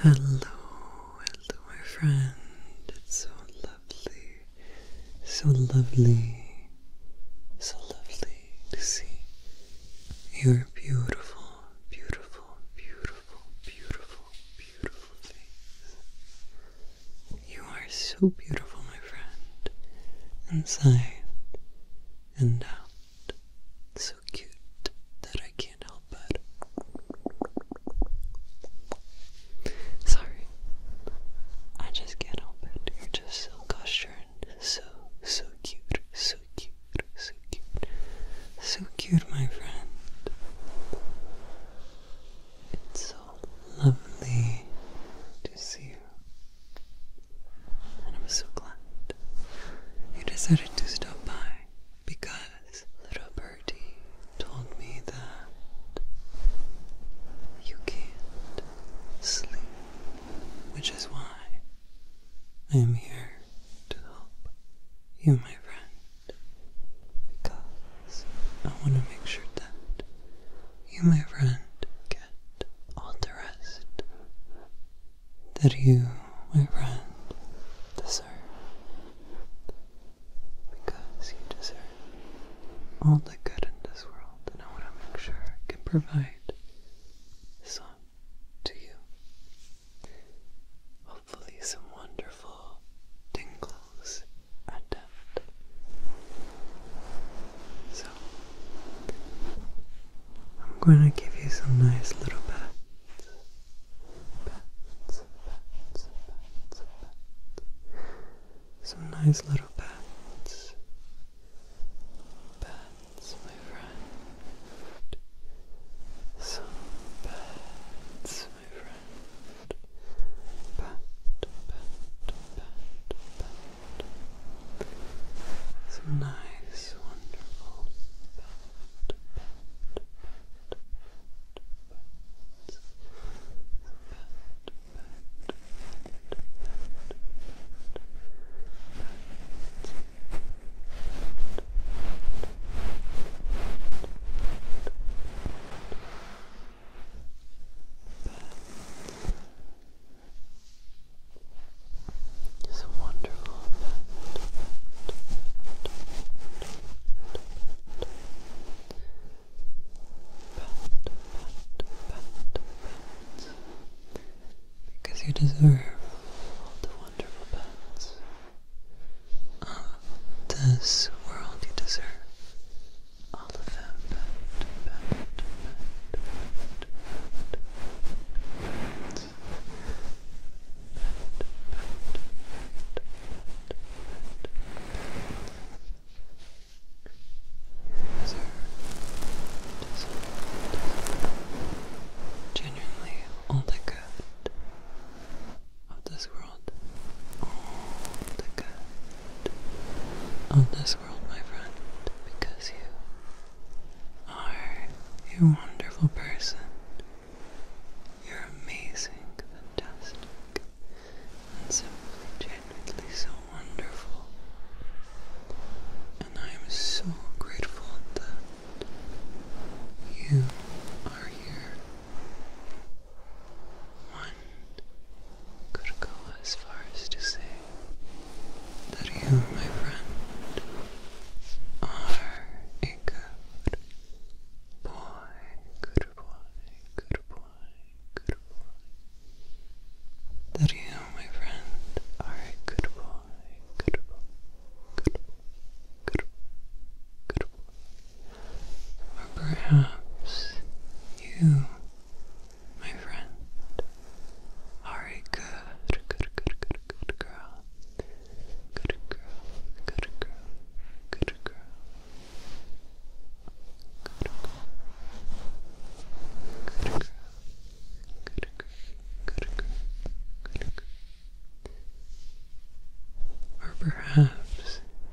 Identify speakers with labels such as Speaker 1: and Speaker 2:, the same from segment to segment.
Speaker 1: Hello, hello, my friend. It's so lovely, so lovely, so lovely to see your beautiful, beautiful, beautiful, beautiful, beautiful face. You are so beautiful, my friend, inside and out so cute that I can't help it. Sorry, I just can't help it. You're just so gushing, so, so cute, so cute, so cute, so cute, my friend.
Speaker 2: It's so lovely to see you,
Speaker 1: and I'm so glad you decided to stop by because little birdie told me that you can't sleep, which is why I am here to help you, my friend, because I want to make sure that you, my friend, get all the rest that you, my friend, deserve. Because you deserve all the good in this world, and I want to make sure I can provide some to you. Hopefully, some wonderful tingles at that. So, I'm going to give you some nice little pats some nice little pats, pats, my friend, some pats, my friend, pat, pat, pat, pat, some nice, wonderful pat, it's a wonderful because you deserve all the wonderful pets of this world. You deserve all of them
Speaker 2: genuinely all the good
Speaker 1: of this world. All the good of this world, my friend, because you are a wonderful person you're amazing, fantastic, and simply genuinely so wonderful. And I am so grateful that you are here. One could go as far as to say that you,
Speaker 2: my friend, are a good boy, good boy, good boy, good boy. That you, my friend, are a good boy, good boy, good boy, good boy, good boy. Or perhaps you, my friend, are a good, good, good, good, good girl. Good girl, good girl, good girl. Good girl. Good girl. Good girl. Good girl. Good girl. Or
Speaker 1: perhaps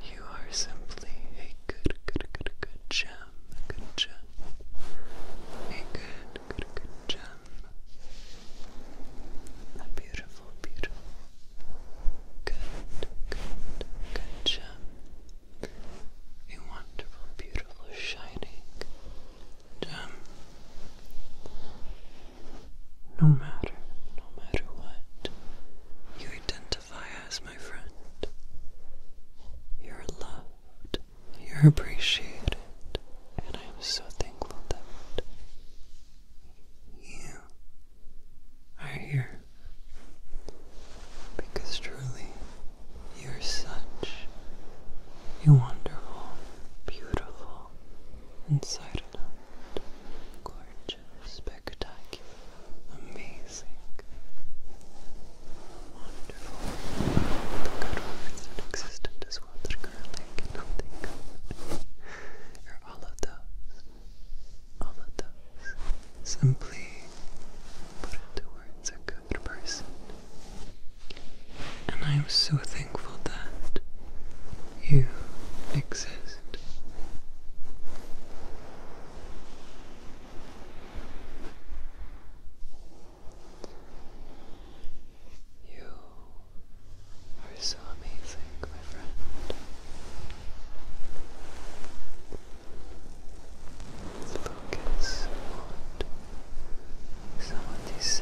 Speaker 1: you are simply a good, good, good, good gem, a good gem, a good, good, good gem, a beautiful, beautiful, good, good, good gem. A wonderful, beautiful, shining gem. No matter, no matter what you identify as, my friend, you're loved, you're appreciated, and I am so thankful that you are here because truly you're such a wonderful, beautiful, inside gorgeous, spectacular, amazing, wonderful, good words that exist in this those ones all of those. All of those. Simply put it towards a good person. And I am so thankful that you exist. You are so amazing, my friend.
Speaker 2: Focus on some of these sounds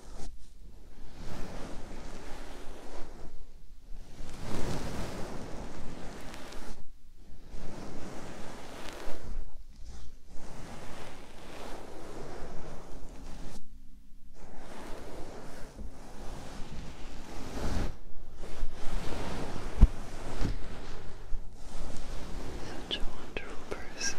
Speaker 1: Such a wonderful person.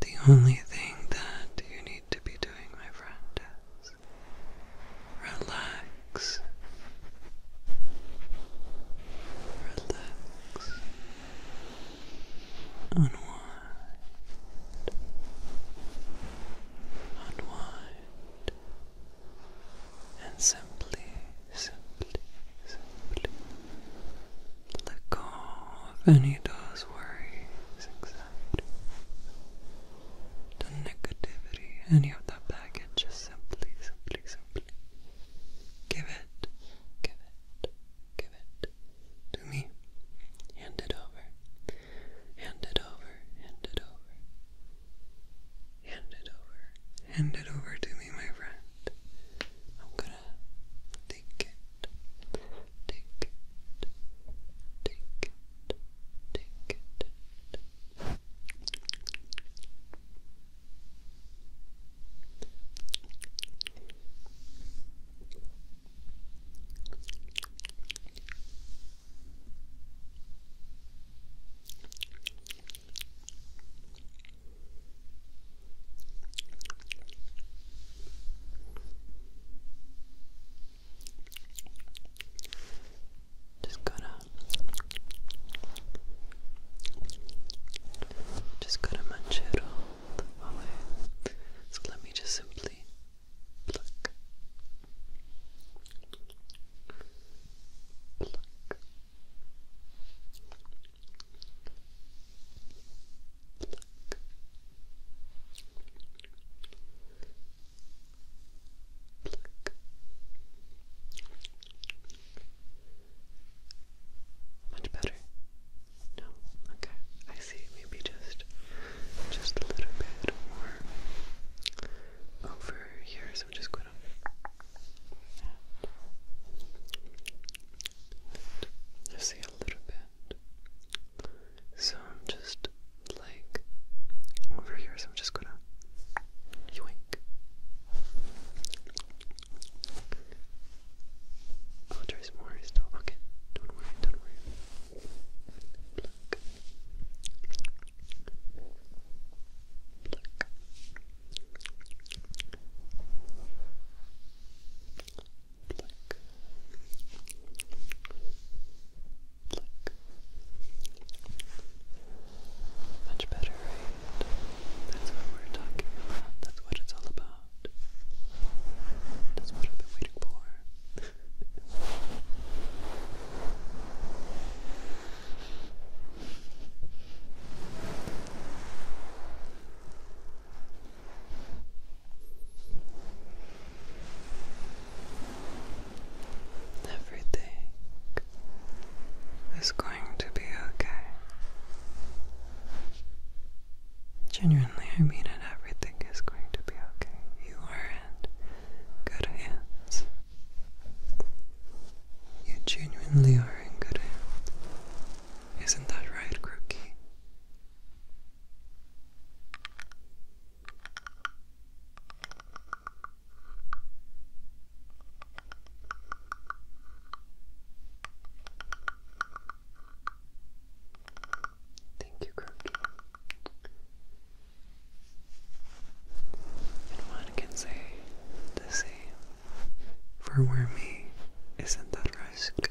Speaker 1: The only thing that you need to be doing, my friend, is relax.
Speaker 2: Relax. Unwind. Unwind.
Speaker 1: And simply, simply, simply let go If any of those worries, anxieties, the negativity, any of that baggage. Just simply, simply, simply give it, give it, give it to me. Hand it over, hand it over, hand it over. Hand it over. Hand it over to me, my friend. Take it, take it, take it, take it. Just gotta, just gotta munch it all the So let me just simply pluck, pluck, much better. No, okay. I see. Maybe just, just a little bit more over here. So just going to. Let's see a little bit. So I'm just like over here, so I'm just gonna yoink. Oh, there's more stuff. Okay, don't worry, don't worry. Pluck. Pluck. Much better, right? That's what we're talking about. That's what it's all about. That's what I've been waiting for. Everything is going to be okay. Genuinely, I mean it. Everything is going to be okay. You are in good hands. You genuinely are in good hands. Isn't that right, Crookie? Thank you, Croaky. And one can say the same for wormy
Speaker 2: isn't that risk.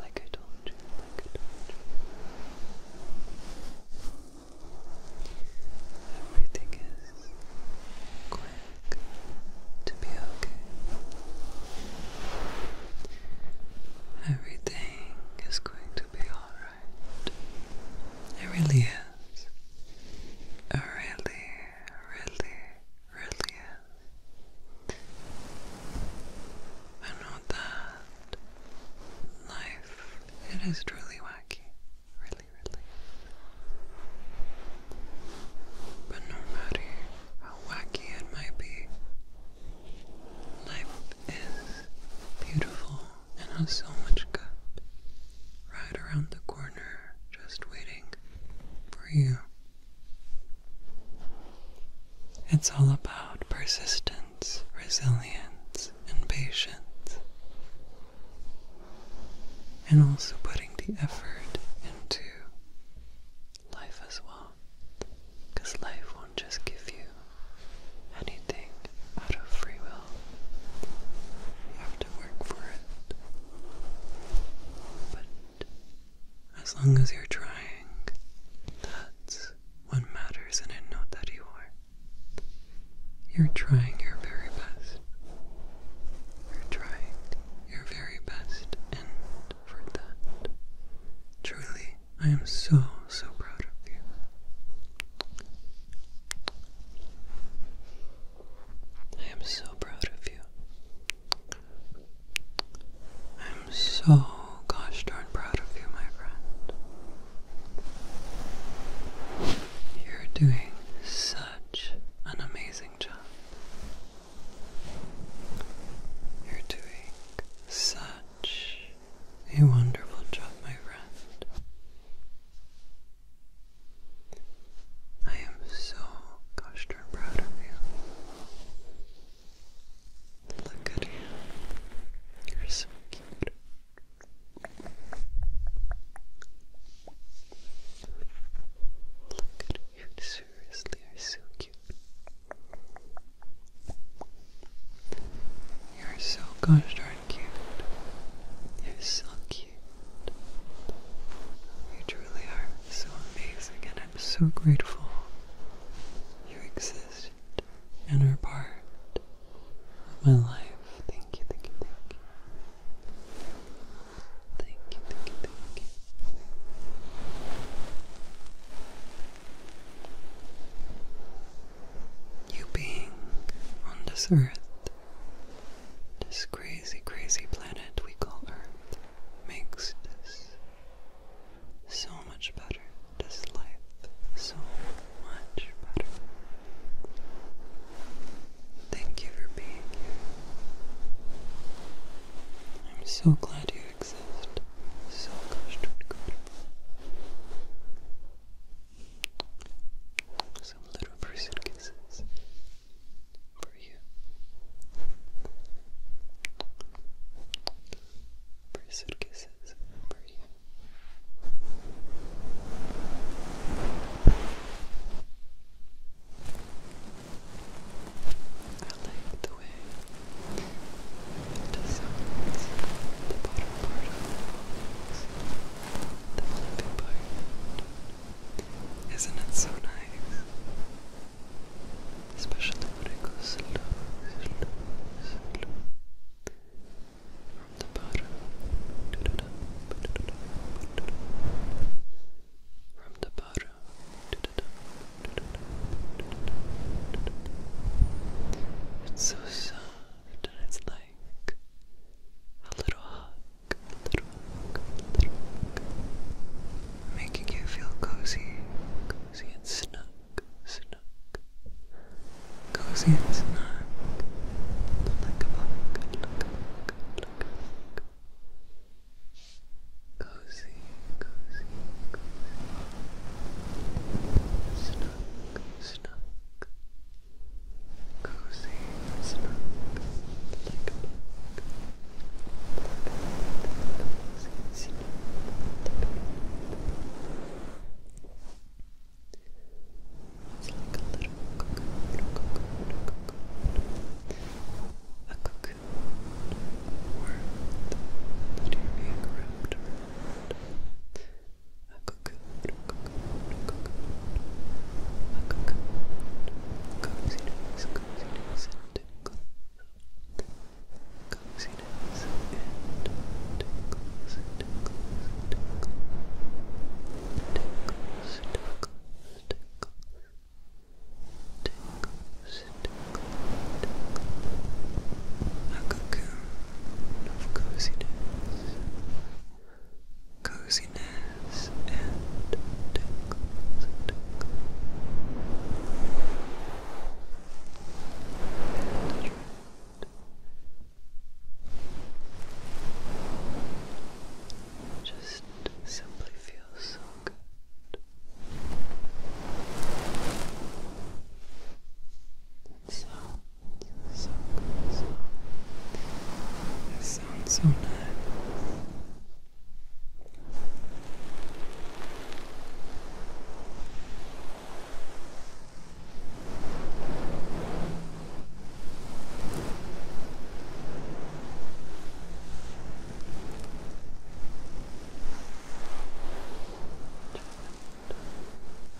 Speaker 1: Like I told you, Everything is quick to be okay. Everything is going to be alright. It really is. It really, really, really is. I know that life, it is truly wacky. Really, really. But no matter how wacky it might be, life is beautiful and so much good right around the corner, just waiting for you. It's all about persistence, resilience, and patience, and also putting the effort into life as well, because life won't just give you anything out of free will. You have to work for it. But as long as you're trying, that's what matters, and I know that you are. You're trying your very best. You're trying your very best, and for that, truly, I am so, so proud of you. I am so proud of you. I'm so gosh darn proud of you, my friend. You're doing such an amazing job. You're doing such a wonderful job, my friend. I am so gosh darn proud of you. Look at you. You're so cute.
Speaker 2: Look at you. Seriously, you're so cute.
Speaker 1: You're so gosh darn you're so cute. You truly are so amazing, and I'm so grateful you exist and are part of my life. thank you, thank you. Thank you, thank you, thank you you being on this earth, this crazy, crazy planet we call Earth, makes this so much better, this life so much better. Thank you for being here. I'm so glad you exist. So gosh darn good. Some little
Speaker 2: person kisses for you. Person kisses for you. I like the
Speaker 1: way it sounds the part of the fluffy part. Isn't it so nice?
Speaker 2: Especially when it goes slow, slow, slow. From the bottom, From the bottom, It's so soft and it's like a little hug, a little hug, a little
Speaker 1: hug, making you feel cozy, cozy and snug, snug,
Speaker 2: cozy and snug, like a bug, like a bug, like a bug. Cozy, cozy, cozy. Snug, snug, cozy and snug, like a bug. Cozy and snug, like a bug. It's like a little cocoon, little cocoon, little cocoon. A cocoon world that you're being wrapped around a cocoon, a cocoon, a cocoon, a cocoon, coziness, coziness and tickles, coziness and tickles, tickles, tickles, tickles, tickles, tickles. Tickles,
Speaker 1: tickles, tickles. A cocoon of coziness, coziness and tingles,
Speaker 2: just simply feels so good sound, so good sound. That sounds so nice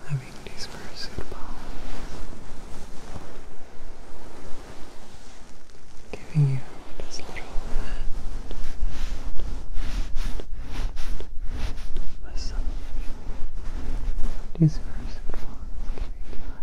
Speaker 1: having these cursed powers, giving you this little hand, hand, hand, hand These cursed powers giving you hand,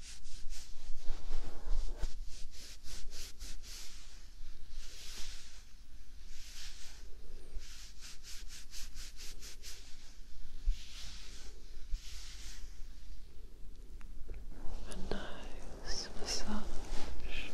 Speaker 2: A nice massage all over you.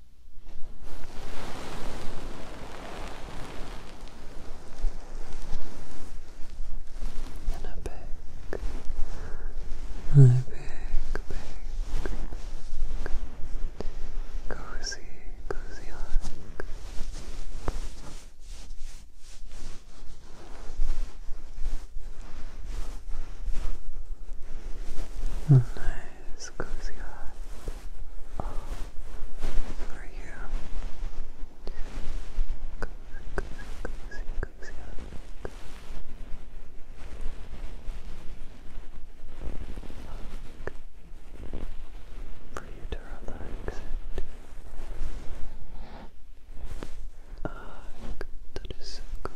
Speaker 2: And a big, a big, big, big, cozy, cozy hug. A nice cozy hug for you. Cozy, cozy, cozy, cozy hug. Hug for you to relax it.
Speaker 1: that is so cozy.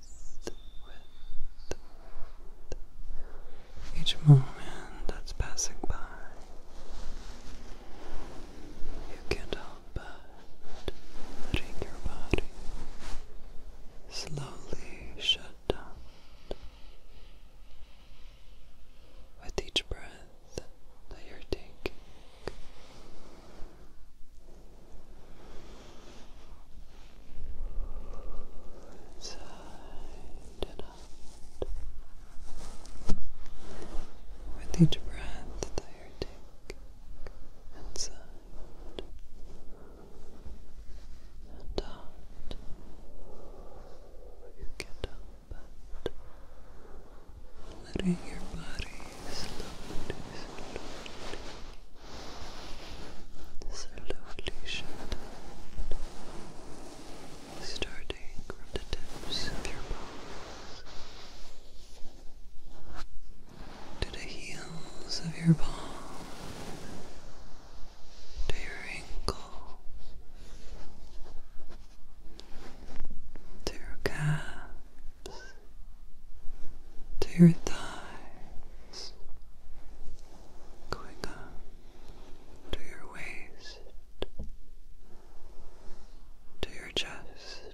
Speaker 1: each moment that's passing by. You can't help but letting your body slowly shut down. With each breath that you're taking, Side and out.
Speaker 2: With each breath that you take, inside and out, you can't Letting your body slowly, slowly Slowly shut down, starting from the tips of your
Speaker 1: palms to the heels of your palm, to your ankle, to your calves, to your thighs going up to your waist, to your chest,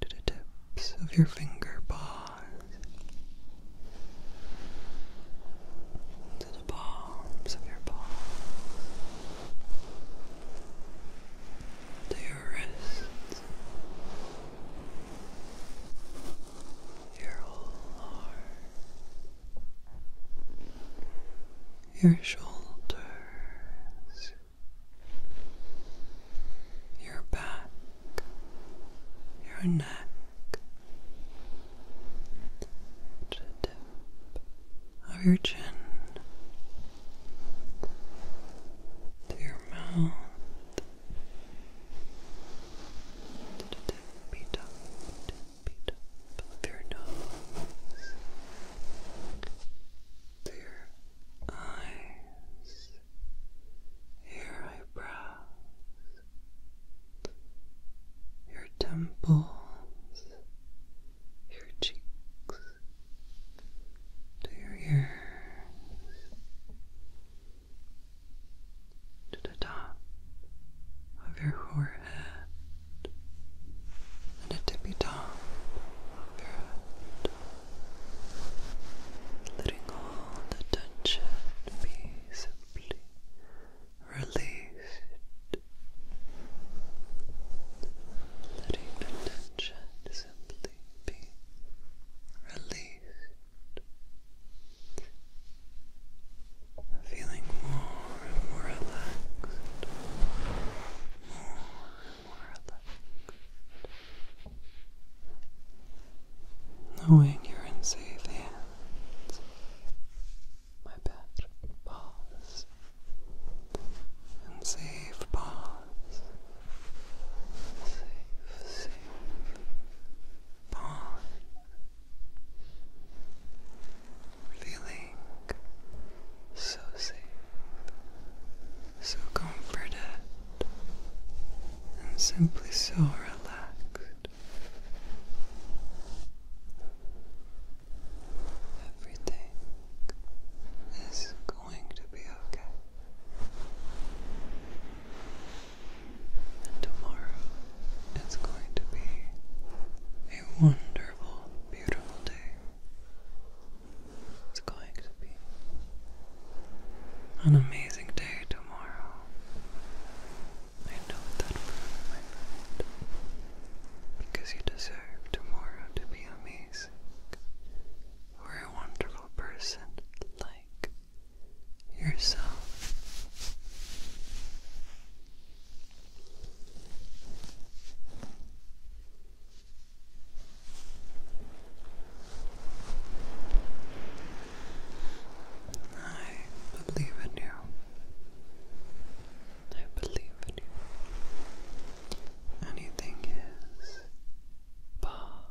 Speaker 1: to the tips of your finger paws, to the palms of your paws, to your wrists your whole your shoulders, your back, your neck. To the tip of your chin to your mouth the tippy your nose, to your eyes, your eyebrows, your temples, your cheeks, to your ears to the top of your forehead and the tippy top of your head, letting all the tension be simply released,
Speaker 2: letting the tension simply be released. Feeling more and more
Speaker 1: relaxed, more and more relaxed. Knowing you're in safe hands, my pet
Speaker 2: paws, and safe paws, safe, safe pawn, feeling so safe, so
Speaker 1: comforted, and simply so relaxed. Everything is going to be okay. And tomorrow is going to be a wonderful, beautiful day. It's going to be an amazing day tomorrow. I know that from my friend. Because you deserve tomorrow to be amazing. you a wonderful person like yourself. I believe in you. I believe in you. Anything is possible.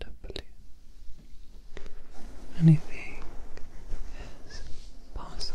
Speaker 1: W. Anything is possible.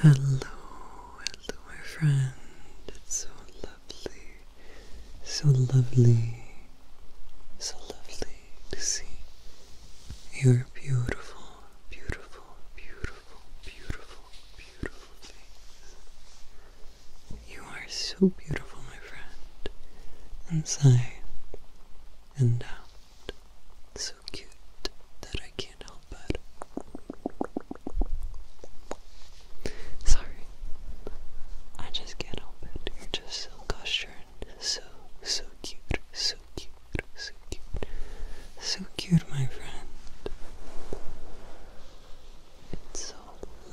Speaker 2: Hello, hello,
Speaker 1: my friend. It's so lovely, so lovely, so lovely to see your beautiful, beautiful, beautiful, beautiful, beautiful face. You are so beautiful, my friend, inside and out so cute that I can't help it. Sorry, I just can't help it. You're just so gushing, so, so cute, so cute, so cute, so cute, my friend. It's so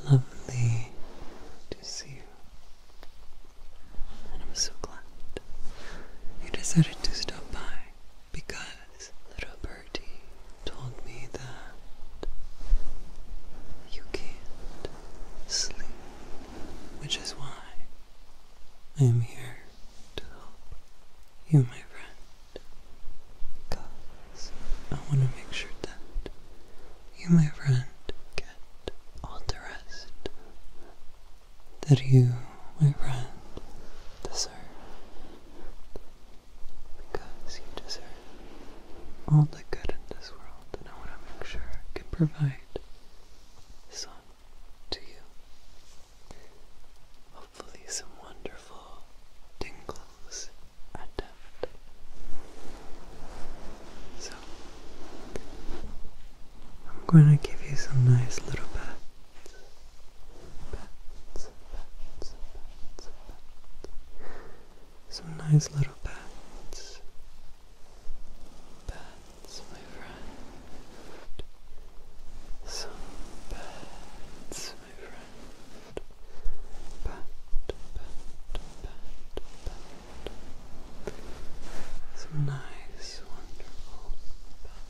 Speaker 1: lovely to see you, and I'm so glad that you decided to stop by because little Bertie told me that you can't sleep, which is why I am here to help you, my friend. Because I want to make sure that you, my friend, get all the rest that you, my friend, deserve. Because you deserve all the good in this world, and I want to make sure I can provide some to you. Hopefully, some wonderful tingles at that. So, I'm going to give you some nice little pats. Some nice little pats. Pats, my friend. Some pats, my friend. Pat, pat, pat, pat. Some nice, wonderful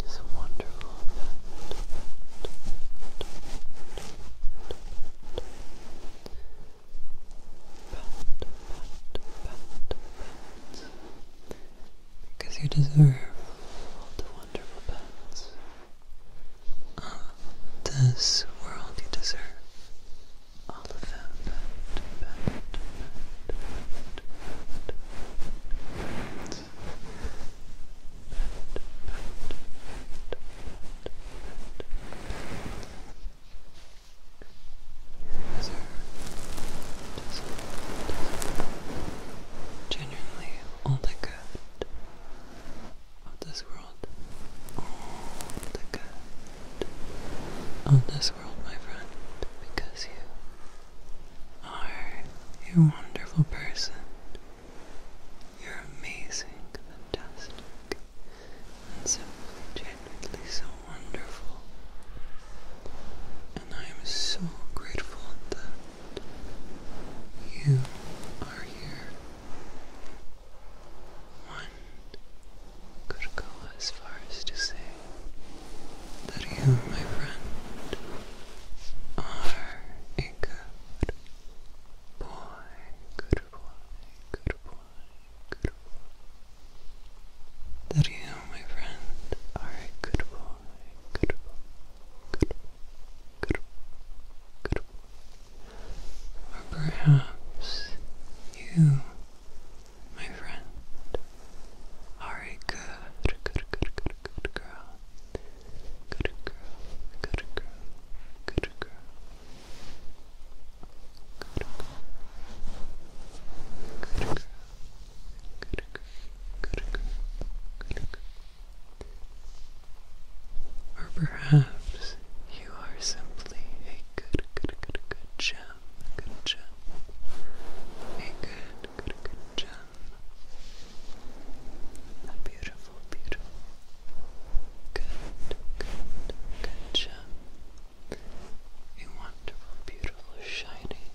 Speaker 1: It's wonderful effect. Because you deserve all the wonderful pets of uh, this world. You deserve all of them. These are
Speaker 2: just genuinely all the good
Speaker 1: of this world. All the good of this world, my friend, because you are a wonderful person. You're amazing, fantastic, and simply genuinely so wonderful. And I am so grateful that you are here. One could go as far as to say
Speaker 2: that you, my friend, are a good boy, good boy, good boy, good That you, my friend, are a good boy, good boy, good good good boy. Or perhaps you, my friend, are a good, good, good, good, good girl. Good girl, good girl, good girl.
Speaker 1: Good girl. Good girl. Good girl. Good girl. Good girl. Or perhaps you are simply a good, good, good, good gem, a good, good, good gem, a beautiful, beautiful. Good, good, good gem. A wonderful, beautiful, shining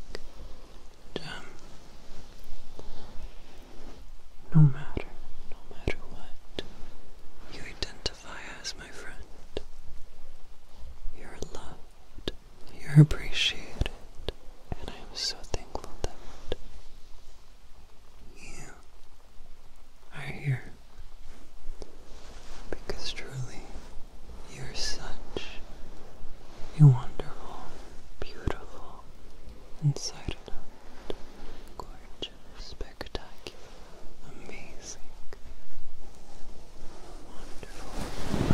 Speaker 1: gem. No matter, no matter what you identify as, my friend, you're loved. You're appreciated, and I am so thankful that you are here because truly you're such a wonderful, beautiful, inside gorgeous, spectacular, amazing, wonderful,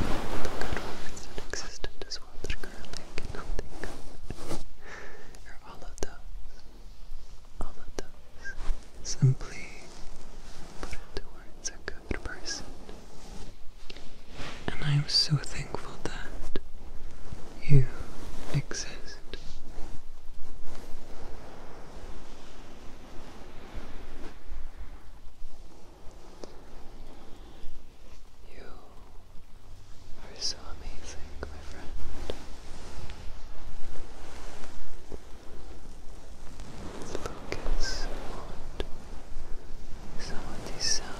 Speaker 2: good words that existed as well through garlic, nothing. or all of those. All of those.
Speaker 1: Simply put it towards a good person. And I'm so thankful that you exist. You are so amazing, my friend. Focus on these sounds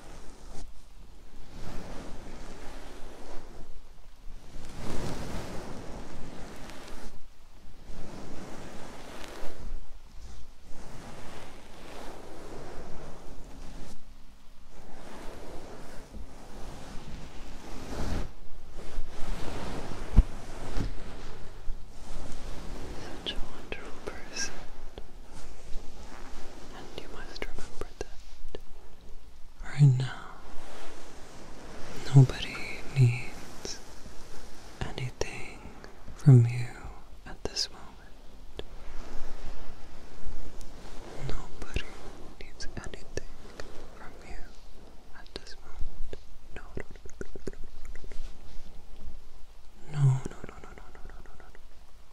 Speaker 1: Such a wonderful person. And you must remember that right now, nobody needs anything from you at this moment. Nobody needs anything from you at this moment. No, no, no, no, no, no, no, no, no, no,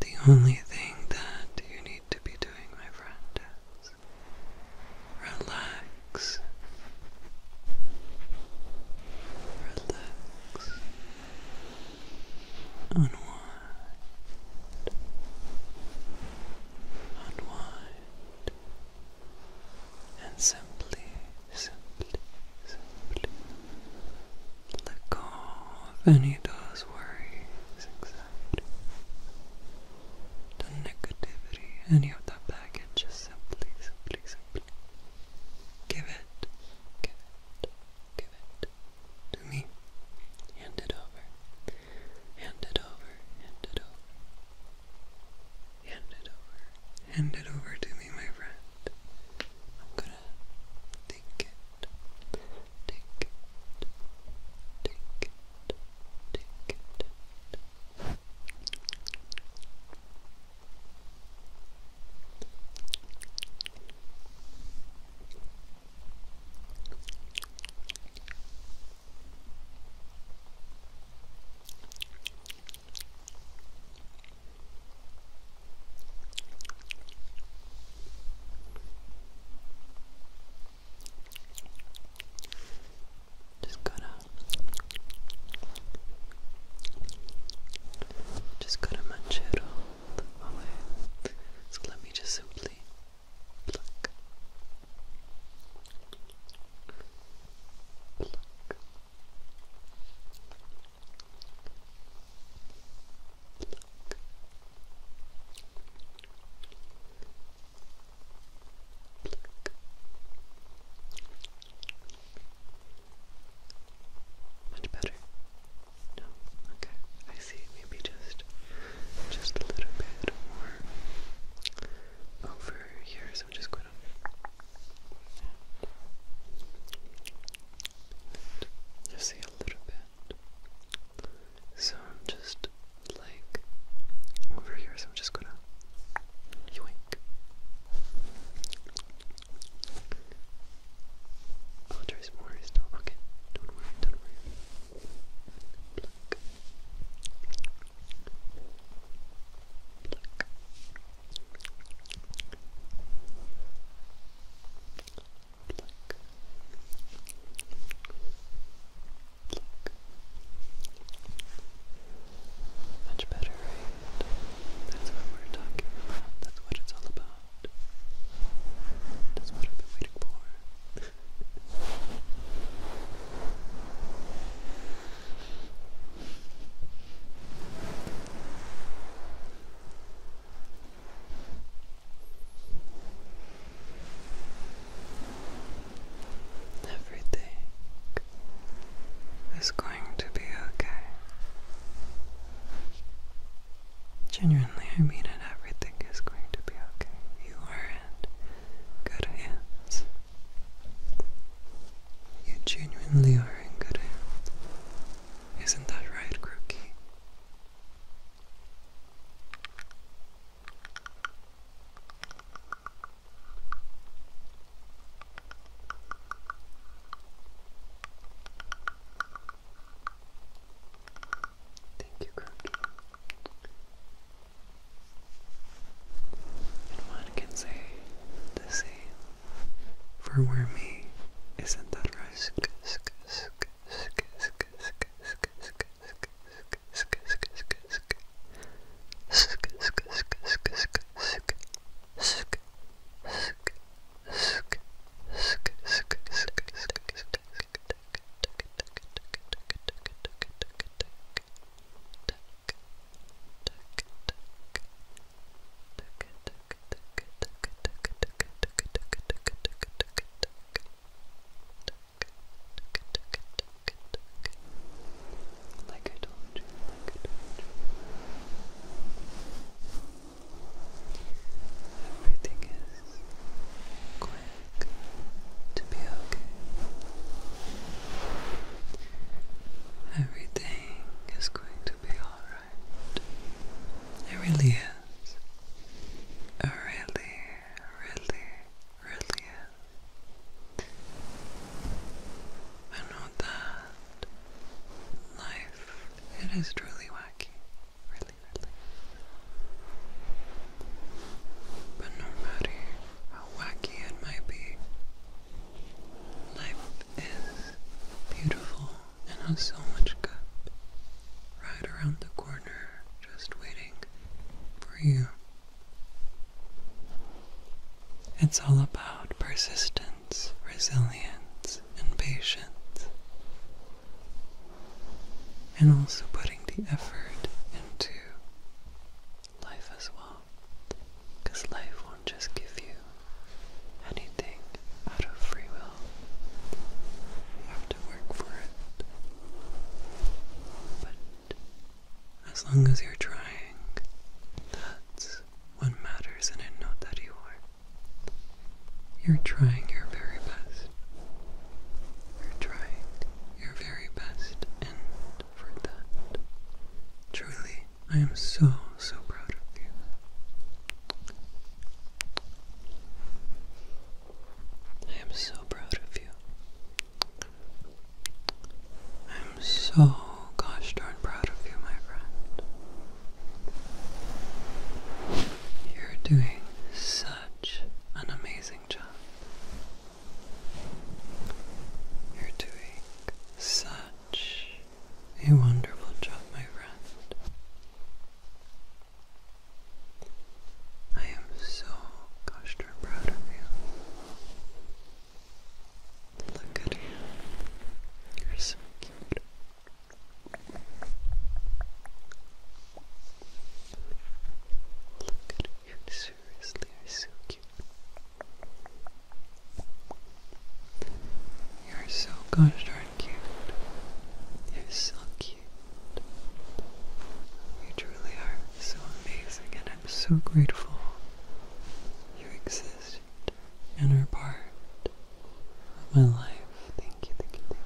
Speaker 1: the only thing that you need to be doing, my friend, is relax.
Speaker 2: Relax. Unwind. Unwind.
Speaker 1: And simply simply, simply let go of any of those anxiety, the negativity, any of that baggage, simply, simply, simply give it, give it, give it to me. Hand it over, hand it over, hand it over. Hand it over, hand it over to me, my friend. I'm gonna take it, take it, take it, take it. Take just gotta, just gotta munch it all away. So let me just simply much better? No? Okay. I see. Maybe just just a little bit more over here, so I'm just gonna you see a little bit. So I'm just like
Speaker 2: over here, so I'm just gonna yoink. Oh, there's more Okay,
Speaker 1: much better, That's what we're talking about. That's what it's all about. That's what I've been waiting for. Everything is going to be okay. Genuinely, I mean it. Everything is going to be okay. You are in good hands. You genuinely are in good hands. Isn't that right, Crookie? Thank you, Crookie. And one can say the same for Wormy. Isn't that right? Tuck, tuck, like I told you, like I told you. Everything is quick to be okay. Everything is going to be alright. It really is. It really, really, really is. I know that life, it is truly wacky. Really, really. But no matter how wacky it might be, life is beautiful and has so much good right around the corner, just waiting for you. It's all about persistence, resilience, and patience, and also putting the effort into life as well, because life won't just give you anything out of free will. You have to work for it. But as long as you're trying, that's what matters, and I know that you are. You're trying your very best. You're trying your very best, and for that, truly, I am so, so proud of you. I am so proud of you. I am so gosh darn proud of you, my friend. You're doing such an amazing job. You're doing such a wonderful job, my friend. I am so gosh darn proud of you.
Speaker 2: Look at you. You're so cute. Look at you. Seriously, you're so cute.
Speaker 1: You're so gosh darn cute. You're so cute. You truly are so amazing, and I'm so grateful you exist and are part of my life. thank you, thank you.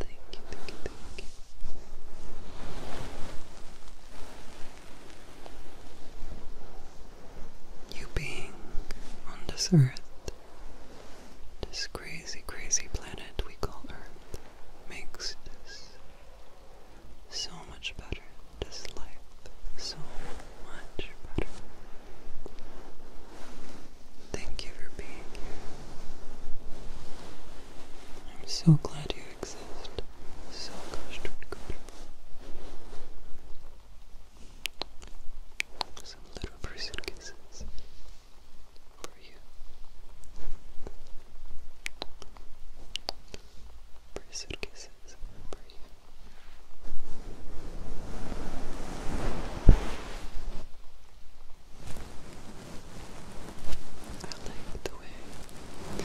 Speaker 1: Thank you, thank you, thank you you being on this earth, this crazy, crazy planet we call Earth, makes this so much better, this life so much better. Thank you for being here. I'm so glad you exist. So gosh, comfortable. Some little
Speaker 2: person kisses for you. Person kisses for you. I like
Speaker 1: the way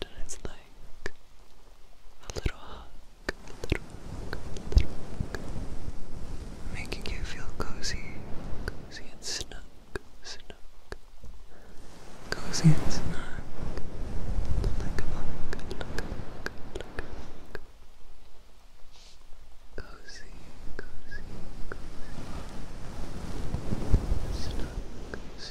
Speaker 1: and it's like a little hug, a little hug, a little hug, making you feel cozy, cozy and snug, snug, cozy and snug, like a hug, like a hug, like a hug.
Speaker 2: Cozy, cozy, cozy. Snug, snug,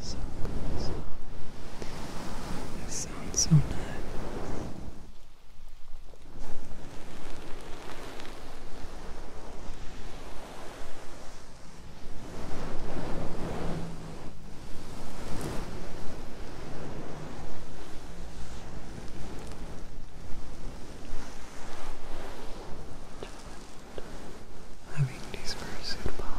Speaker 2: So cool, so. That sounds so nice having these fursuit palms,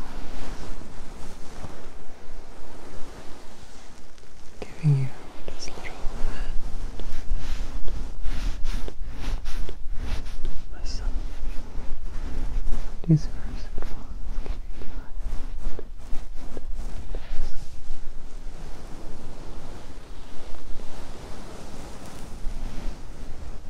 Speaker 2: giving you this little hand, hand,
Speaker 1: hand, hand massage. These fursuit palms you life.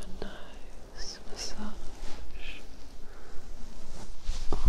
Speaker 1: A nice massage all you.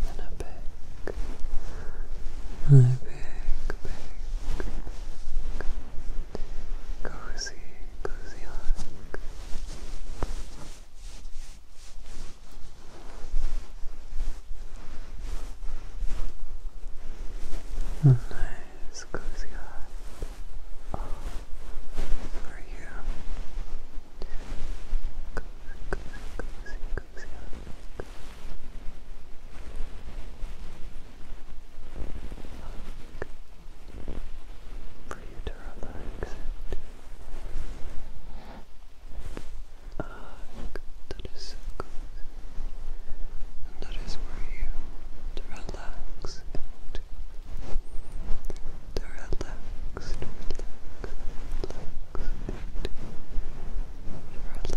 Speaker 1: And a back, my back, back, back, cozy, cozy hug. A nice cozy hug for you. Cozy, cozy, cozy, cozy hug. Hug for you to relax Ah, good. That is so good. And that is for you to relax To relax, relax, relax To relax, to,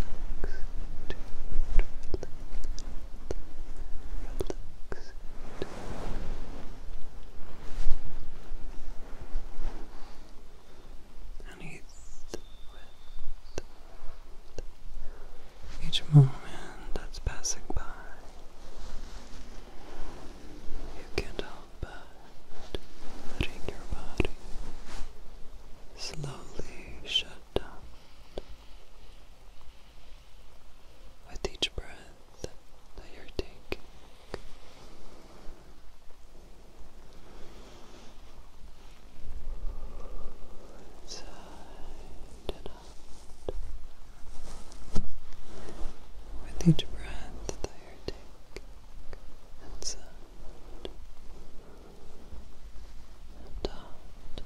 Speaker 1: relax, relax each moment that's passing by. You can't help but letting your body slowly shut down. With each breath that you're taking, with each breath that you take, inside and out,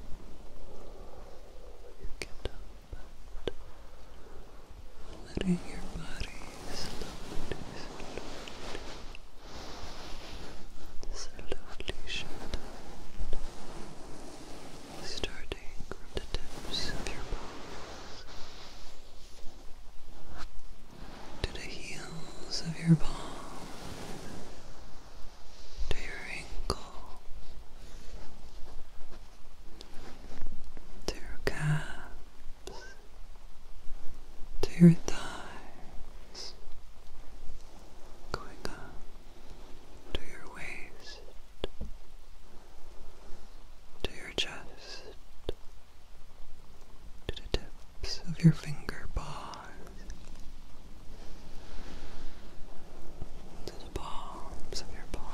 Speaker 1: you get up letting your body slowly, slowly,
Speaker 2: is a lovely shadow starting from the tips of your
Speaker 1: palms to the heels of your palm to your ankle to your calves to your thigh going up to your waist, to your chest, to the tips of your finger paws, to the palms of
Speaker 2: your paws,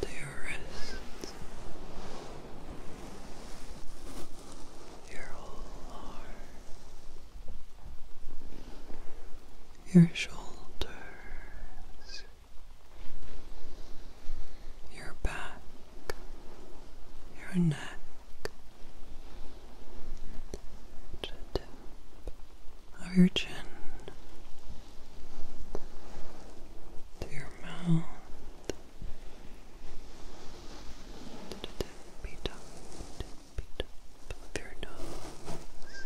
Speaker 2: to your wrists
Speaker 1: your arm, your shoulders, your back, your neck. tip of your chin to your mouth the tippy your nose,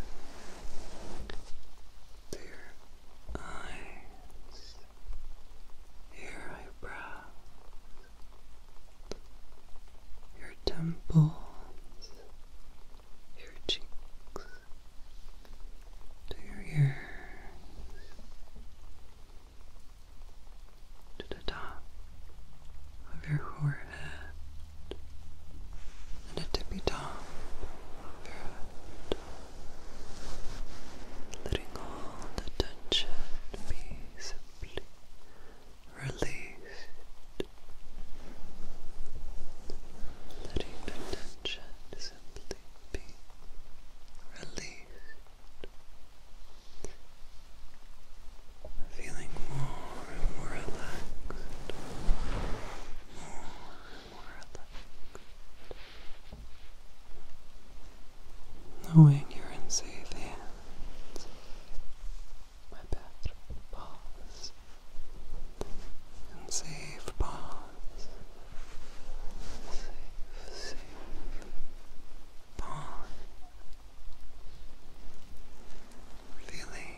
Speaker 1: to your eyes, your eyebrows, your temples, your cheeks, to your ears to the top of your forehead and a tippy top of letting all the tension be simply released, letting the tension simply be released. Feeling more and more relaxed, more and more relaxed. Knowing you're in safe hands, my best boss, in safe bonds safe, safe Feeling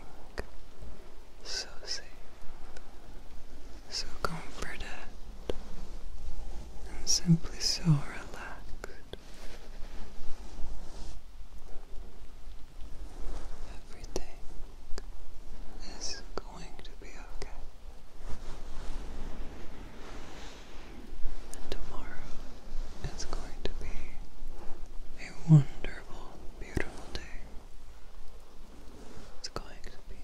Speaker 1: so safe, so comforted, and simply so relaxed. Everything is going going to be okay. And tomorrow is going to be a wonderful, beautiful day. It's going to be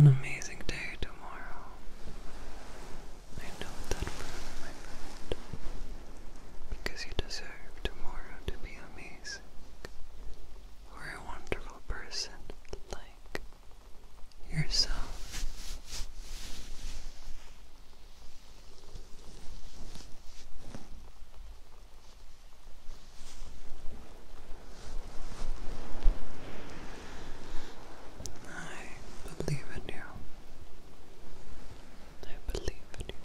Speaker 1: an amazing day tomorrow. I know that forever, my friend. Because you deserve tomorrow to be amazing. Or a wonderful person like yourself. I believe in you. I believe in you.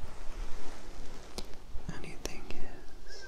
Speaker 1: Anything is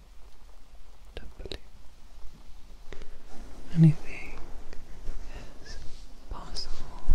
Speaker 1: Anything is possible.